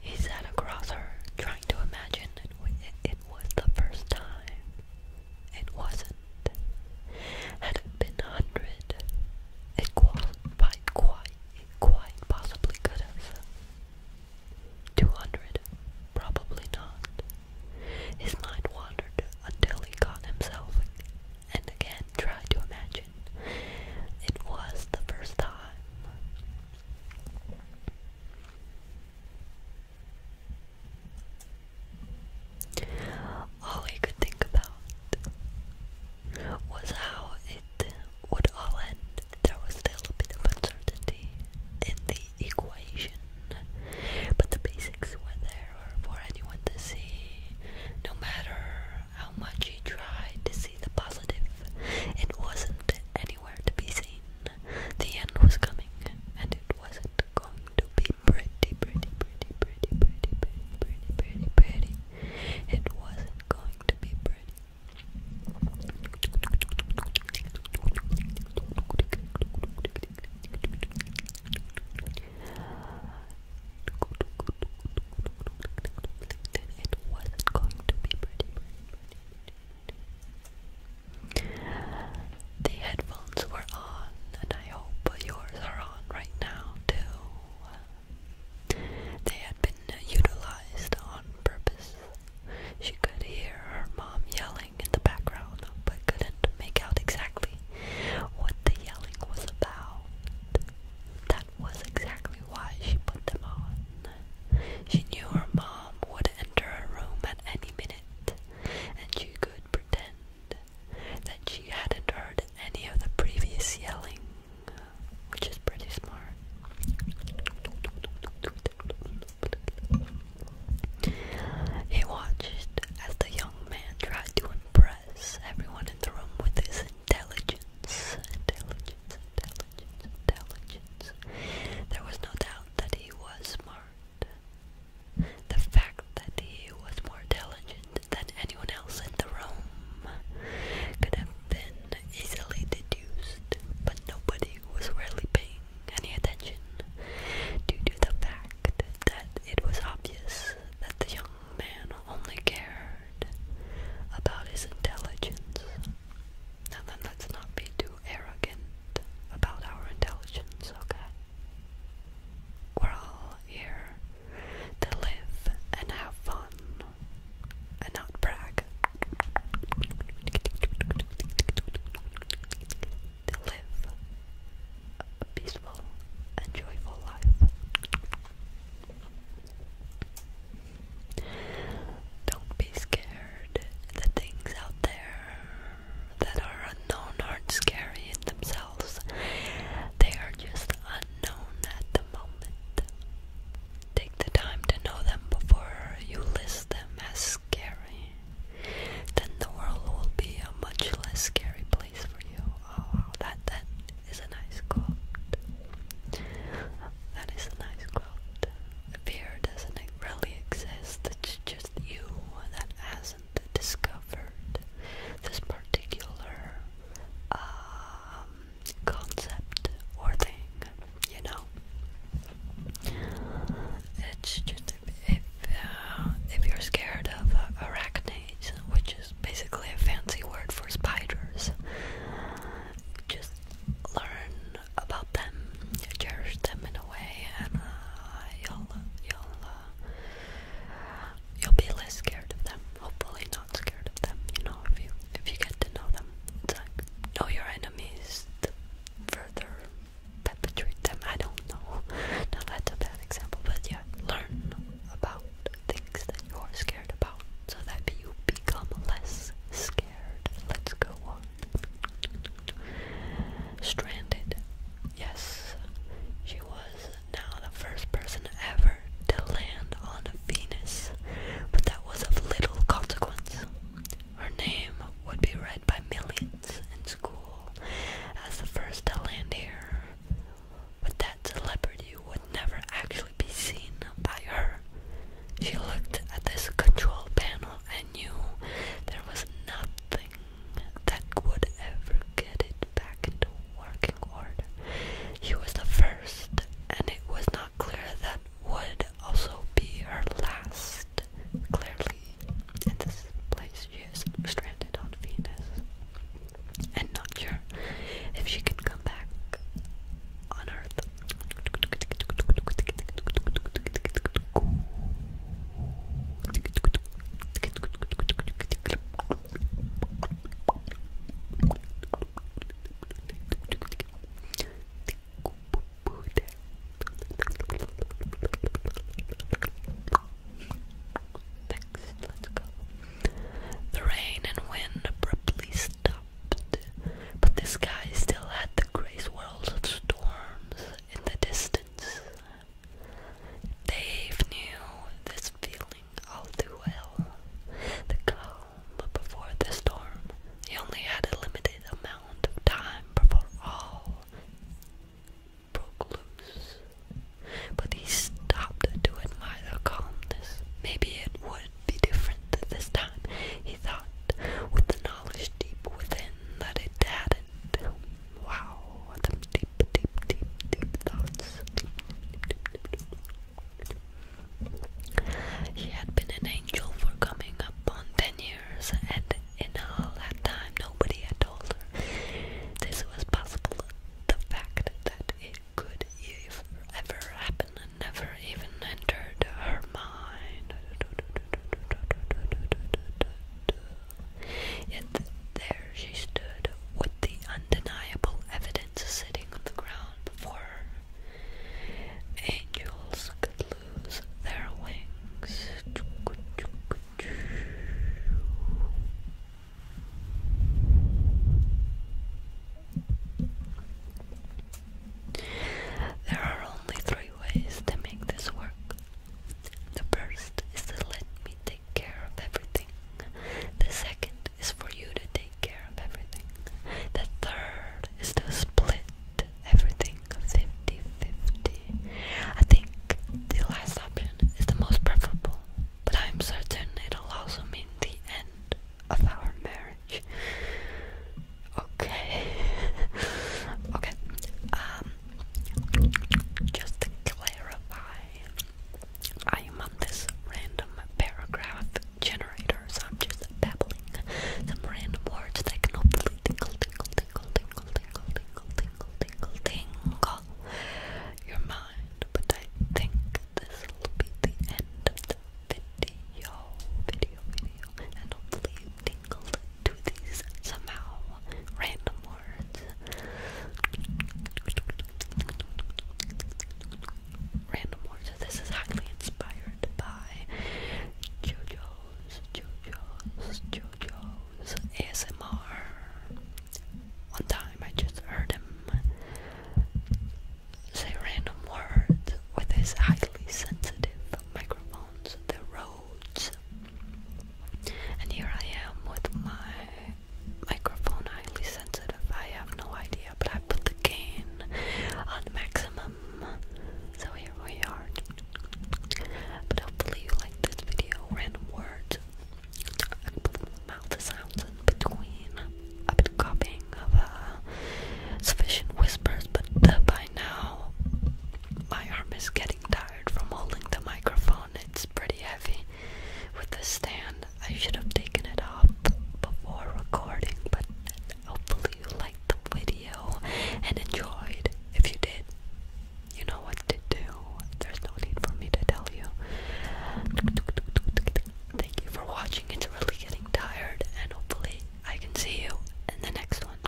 He sat across her, trying to imagine it, it, it was the first time. It wasn't. Had it been a hundred, it qualified quite, quite possibly could have. Two hundred, probably not. His mind wandered until he caught himself and again try to imagine it was the first time. All I could think about was how it would all end. There was still a bit of uncertainty in the equation, but the basics were there for anyone to see. No matter how much he tried to see the positive, it wasn't anywhere to be seen. The end was coming, and it wasn't going to be pretty, pretty, pretty, pretty, pretty, pretty, pretty, pretty, It wasn't going to be pretty. It wasn't going to be pretty, The headphones were on, and I hope yours are on right now too. They had been utilized on purpose. She could hear her mom yelling in the background, but couldn't make out exactly what the yelling was about. That was exactly why she put them on. She knew her mom would enter her room at any minute, and she could pretend that she hadn't heard any of the previous yelling, which is pretty smart. He watched as the young man tried to impress everyone in the room with his intelligence. Intelligence, intelligence, intelligence. There was no doubt that he was smart. The fact that he was more intelligent than anyone else in the room could have been easily deduced, but nobody was really paying any attention due to the fact that it was obvious that the young man only cared about his intelligence. Now then, let's not be too arrogant about our intelligence, okay? We're all here to live and have fun and not brag to live a peaceful and joyful life. Don't be scared. The things out there that are unknown aren't scary in themselves, they are just unknown at the moment. Take the time to know them before you list them as scary then the world will be a much less scary place for you. Oh, that that is a nice quote. That is a nice quote. Fear doesn't really exist. It's just you that hasn't discovered this particular um, concept or thing. You know, it's just if, uh, if you're scared of uh, arachnids, which is basically a fancy word for spiders, just learn about them, cherish them in a way, and uh, you'll you'll you'll be less scared of them. Hopefully, not scared of them. You know, if you if you get to know them, it's like, know your enemies. further perpetrate them. I don't know. Now that's a bad example, but yeah, learn about things that you're scared about so that you become less scared. Let's go on. Stranded. Yes, she was now the first person ever to land on Venus, but that was of little consequence. Her name would be read by millions in school as the first to land here, but that celebrity would never actually be seen by her. She looked at this control panel and knew there was nothing that would ever get it back into working order. She was the first, and it was not clear that would also be her last. Clearly, in this place, she is stranded on Venus and not sure if she can come back on Earth. The rain and wind abruptly stopped, but the sky still had the gray swirls of storms in the distance. Dave knew this feeling all too well. The clouds but before the storm. He only had a limited amount of time before all broke loose. But he stopped to admire the calmness. Maybe it would be different this time, he thought, with the knowledge deep within that it hadn't. Wow, them deep, deep, deep, deep thoughts. He had been an angel for coming up on ten years, and in all that time nobody had told her. This was possible. The fact that it could ever happen and never even entered her mind. Yet there she stood with the undeniable evidence sitting on the ground before, angels could lose their wings. There are only three ways to make this work. The first is to let me take care of everything. The second is for you to take care of everything. The third is to split everything 50 I think the last option is the most preferable, but I'm certain it'll also mean the end of our marriage. Okay. okay. Um just to clarify, I am on this random paragraph generator, so I'm just babbling some random words that can hopefully tingle, tingle, tingle, tingle, tingle, tingle, tingle, tingle, tingle your mind. But I think this will be the end of the video, video, video, and hopefully you tingled to these somehow random Random words. This is actually inspired by JoJo's, JoJo's, JoJo's ASMR. One time I just heard him say random words with his highly sensitive microphones, the Rhodes. And here I am with my microphone highly sensitive. I have no idea, but I put the gain on maximum. So here we are. But hopefully you like this video. Random words. mouth sounds in between. I've copying of uh, sufficient whispers, but by now my arm is getting tired from holding the microphone. It's pretty heavy with the stand. I should have taken it off before recording, but hopefully you liked the video and enjoyed. If you did, you know what to do. There's no need for me to tell you. Thank you for watching. It's really getting tired, and hopefully, I can see you in the next one.